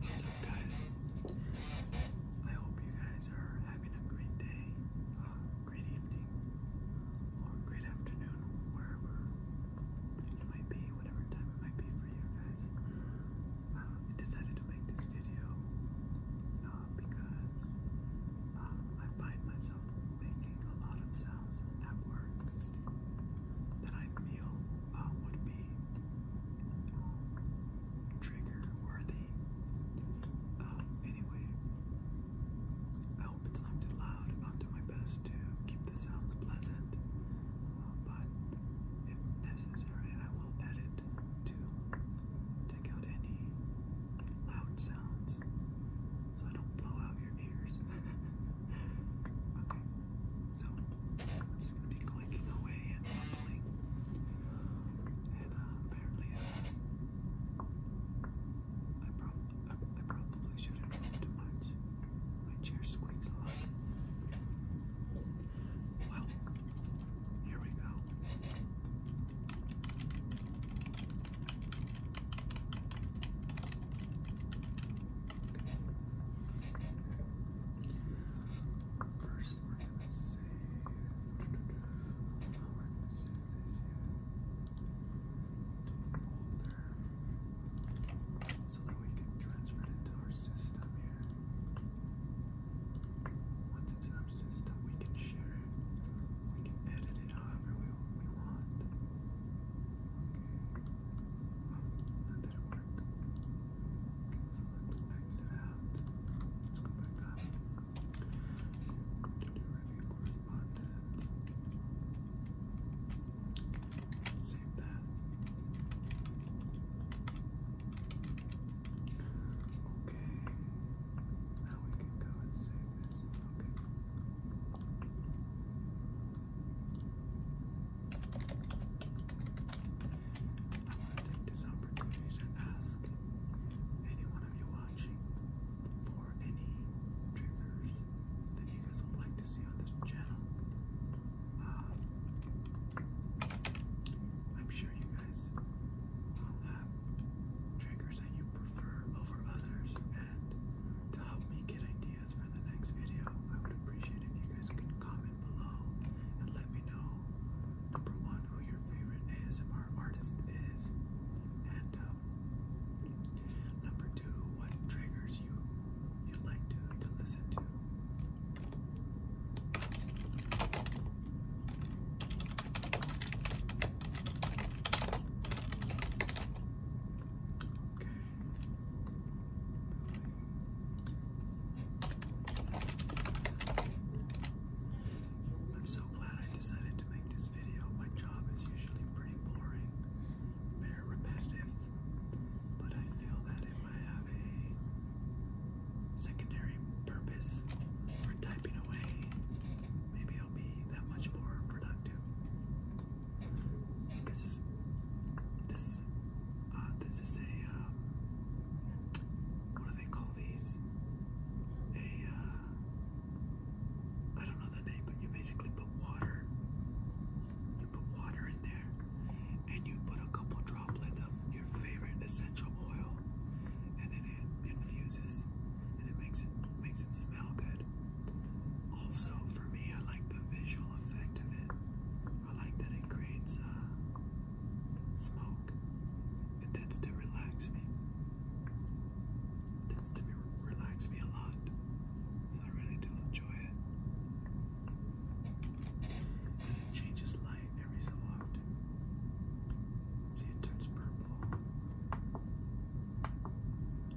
What's up, guys? I hope you guys are having a great day, a uh, great evening, or a great afternoon, wherever it might be, whatever time it might be for you guys. Um, I decided to make this video uh, because um, I find myself making a lot of sounds at work that I feel uh, would be um, trigger worthy. Uh, anyway, I hope it's not too loud. I'll do my best to keep the sounds pleasant, uh, but if necessary, I will edit to take out any loud sounds so I don't blow out your ears. Okay, so I'm just gonna be clicking away and mumbling. And apparently, I, prob I probably shouldn't move too much. My chair squeaks a lot. Well, here we go. First, we're gonna save. Oh, we're gonna save this yet. To a folder, so that we can transfer it into our system here. Once it's in our system, we can share it. We can edit it however we we want. Okay. Well, that didn't work. Okay, so let's exit out. Let's go back up. To do review correspondence. Save that. Okay. Now we can go and save this. Okay. I want to take this opportunity to ask any of you watching for any triggers that you guys would like to see on this channel. Uh, I'm sure you guys will have triggers that you prefer over others, and to help me get ideas ideas for the next video, I would appreciate if you guys can comment below and let me know number one who your favorite ASMR artist is, and um, number two what triggers you you like to to listen to. Okay, I'm so glad I decided to make this video. My job is usually pretty boring, very repetitive, but I feel that if I have a secondary purpose for typing away, maybe I'll be that much more productive. This is this uh, this is a uh, what do they call these? A uh, don't know the name, but you basically put water. You put water in there, and you put a couple droplets of your favorite essential oil, and then it infuses, and it makes it makes it smell good. Also, for me, I like the visual effect of it. I like that it creates uh, smoke. It tends to relax me. It tends to be, relax me a lot. So I really do enjoy it. And it changes light every so often. See, it turns purple.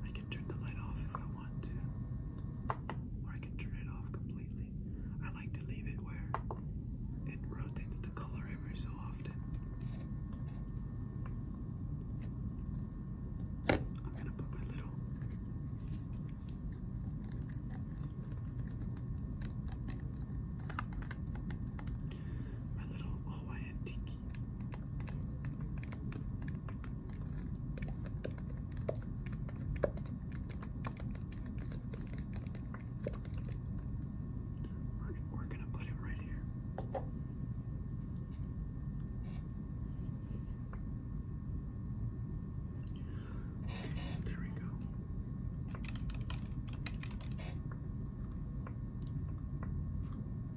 I can turn the light off if I want to. Or I can turn it off completely. I like to leave it where it rotates the color every so often. I'm gonna put my little my little Hawaiian tiki. We're, going to put it right here. There we go.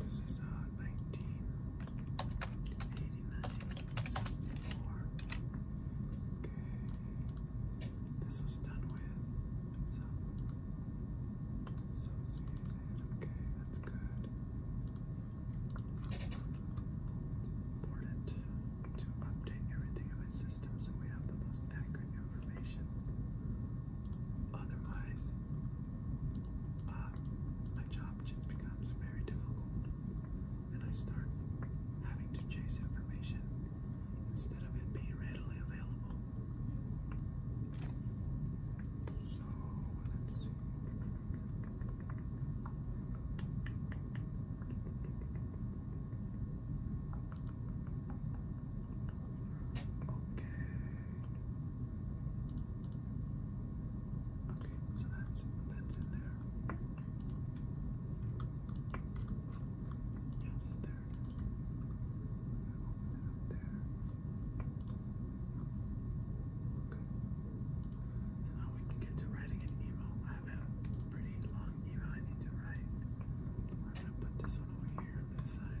this is uh, 1989, 64. Okay, this was done with some associated. Okay, that's good. Important to update everything in my system so we have the most accurate information. Otherwise, uh, my job just becomes very difficult, and I start having to chase information instead of it being readily available. So let's see. Okay. Okay, so that's that's in there. Yes, there it is. Open it up there. Okay. now we can get to writing an email. I have a pretty long email I need to write. I'm gonna put this one over here this side.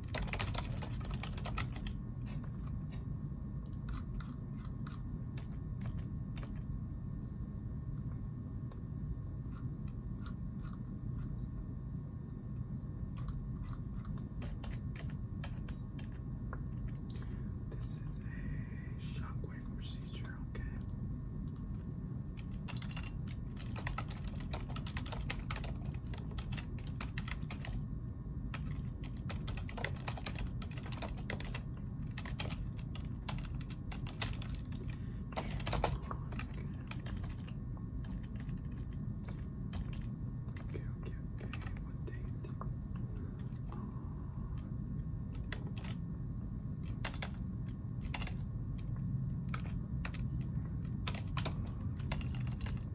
This is a shockwave procedure, okay? Okay, okay, okay. What date? Uh, uh,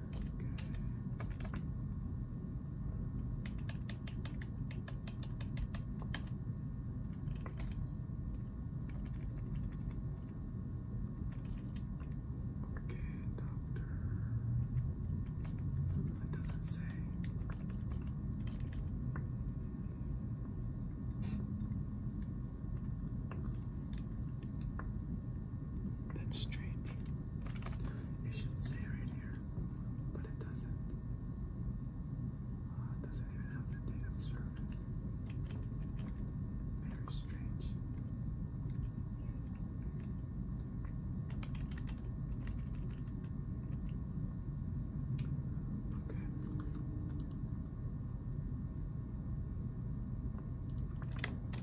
Okay, doctor. It doesn't say. That's strange. It should say right here, but it doesn't. Uh, doesn't even have the date of service. Very strange. Okay.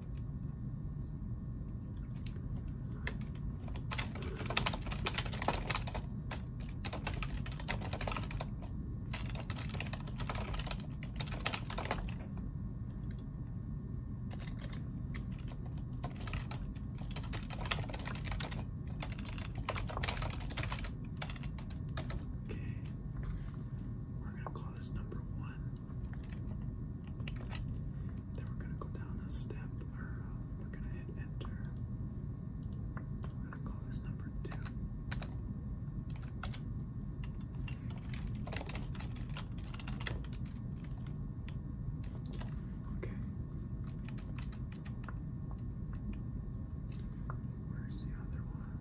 Okay. We're gonna call this number one. Then we're gonna go down a step, uh, we're gonna hit enter. I'm gonna call this number two. Okay. Where's the other one?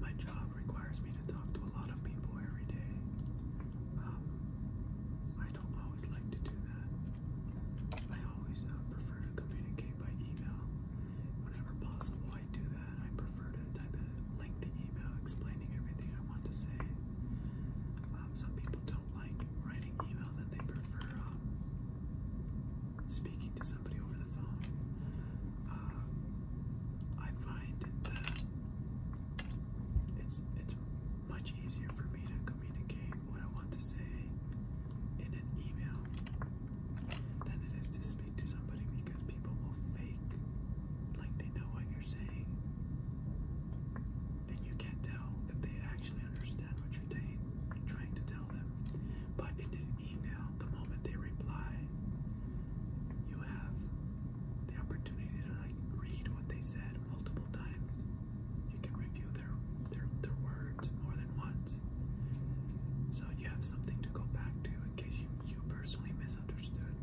My job requires me to talk to a lot of people every day. Um, I don't always like to do that. I always uh, prefer to communicate by email. Whenever possible, I do that. I prefer to type a lengthy email explaining everything I want to say. Um, some people don't like writing emails and they prefer um, speaking to somebody over the phone. Uh, I find that it's, it's much easier for me to communicate what I want to say in an email than it is to speak to somebody because people will fake like they know what you're saying. And you can't tell if they actually understand what you're trying to tell them. But in an email, the moment they reply, you have the opportunity to like read what they said multiple times you can review their, their, their words more than once. So you have something to go back to in case you, you personally misunderstood,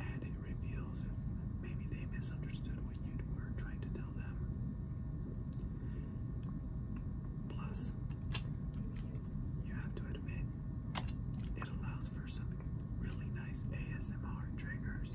and it reveals if maybe they misunderstood what you were trying to tell them. Plus, you have to admit, it allows for some really nice ASMR triggers.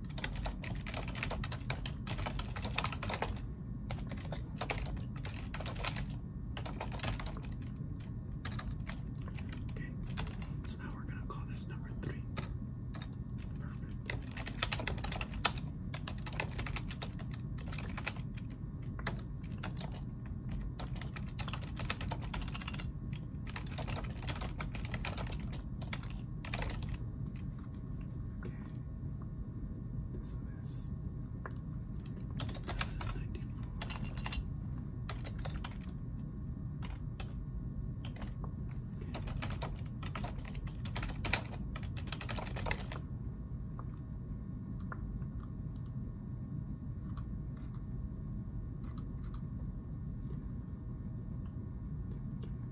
Okay, so now we're going to call this number three. Perfect. Okay. This is 2094. Okay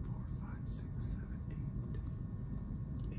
four, five, six, seven, eight, eight. Eight.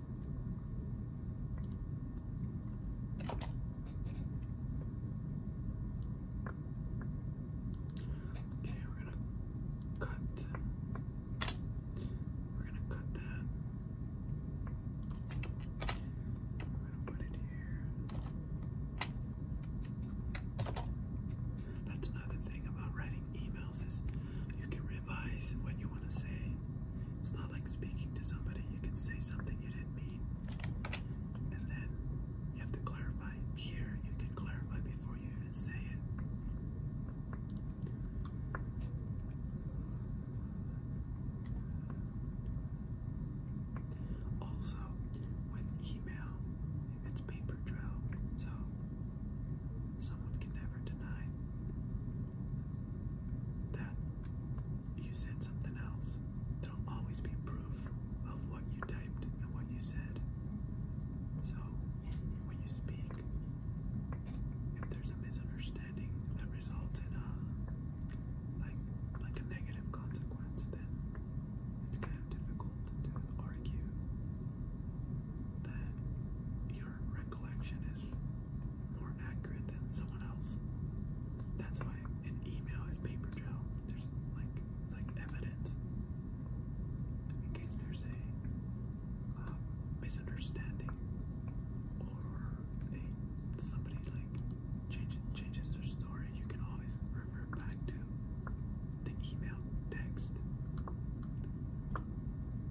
Okay, we're gonna cut. We're gonna cut that. We're gonna put it here. That's another thing about writing emails is you can advise what you want to say. It's not like speaking to somebody, you can say something you didn't mean. And then you have to clarify. Here, you can clarify before you even say it. Also, with email, it's paper trail. So someone can never deny that you said something else. There'll always be proof of what you typed and what you said. So, when you speak, if there's a misunderstanding that results in a like like a negative consequence, then it's kind of difficult to argue that you're recollection is more accurate than someone else. That's why an email is paper trail. There's like it's like evidence in case there's a uh, misunderstanding or a somebody like changes changes their story. You can always revert back to the email text.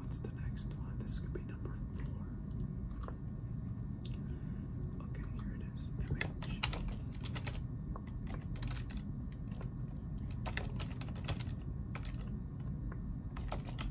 what's the next one? This could be number four. Okay, here it is. Image. Okay,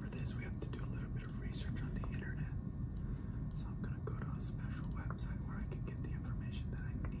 For this, we have to do a little bit of research on the internet. So I'm going to go to a special website where I can get the information that I need.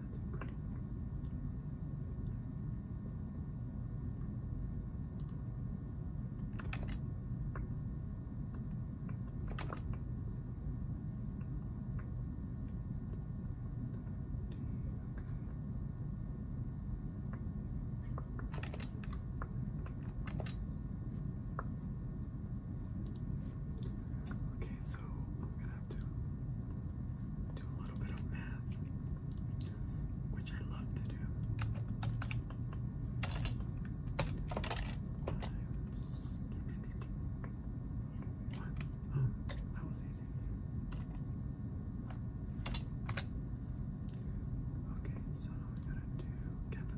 That's okay. Okay, so I'm gonna have do a little bit of math, which I love to do. Times um, Oh, that was easy. Okay, so now we gotta do cap a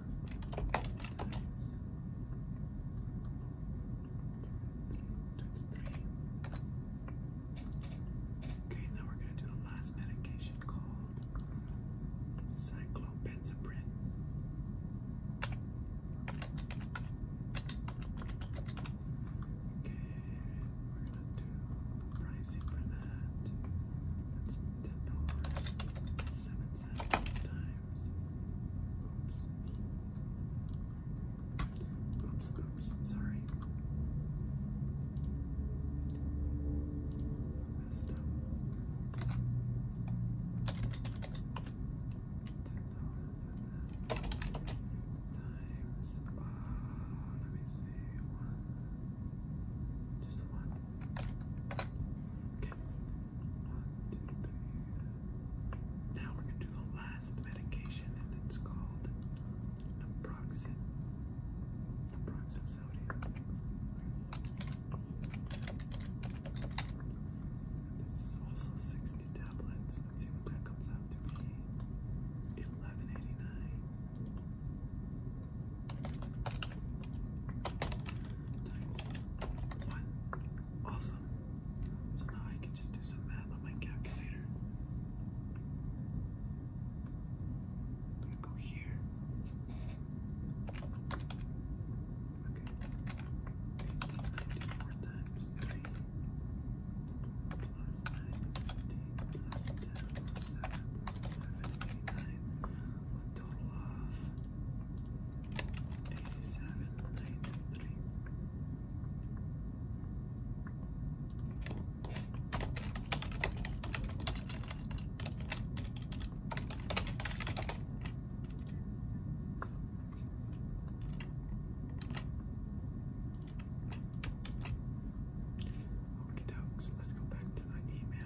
Okay, now we're going to do the last medication called cyclopentaprin. Okay, we're going to do pricing for that. That's $10, $7. Oops. Oops, oops, sorry. Messed Times. Uh, let me see. One, just one. Okay. One, two, three. Now we're going to do the last medication, and it's called naproxen. Naproxen This is also 60 tablets. Let's see what that comes out to be. 1189 one. Awesome. So now I can just do some math on my calculator. I'm gonna go here. Okay. 1894 times 3 plus 9, 15 plus 10 plus 7 plus 11, 89, Dolov, eighty-seven ninety-three. Okay, dogs. Let's go back to the email.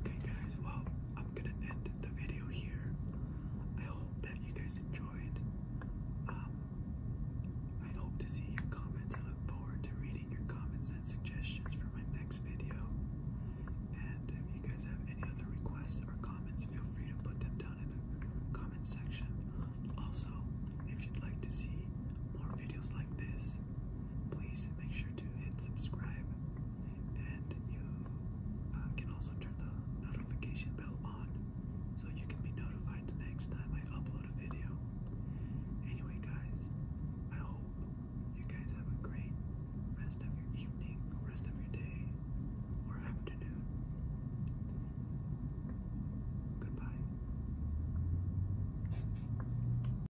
Okay, guys, well, I'm gonna end the video here. I hope that you guys enjoyed. Um, I hope to see your comments. I look forward to reading your comments and suggestions for my next video. And if you guys have any other requests or comments, feel free to put them down in the comment section. Also, if you'd like to see more videos like this, please make sure to hit subscribe, and you uh, can also turn the notification bell on so you can be notified the next time I upload a video. Anyway, guys, I hope you guys have a great rest of your evening, rest of your day, or afternoon. Goodbye.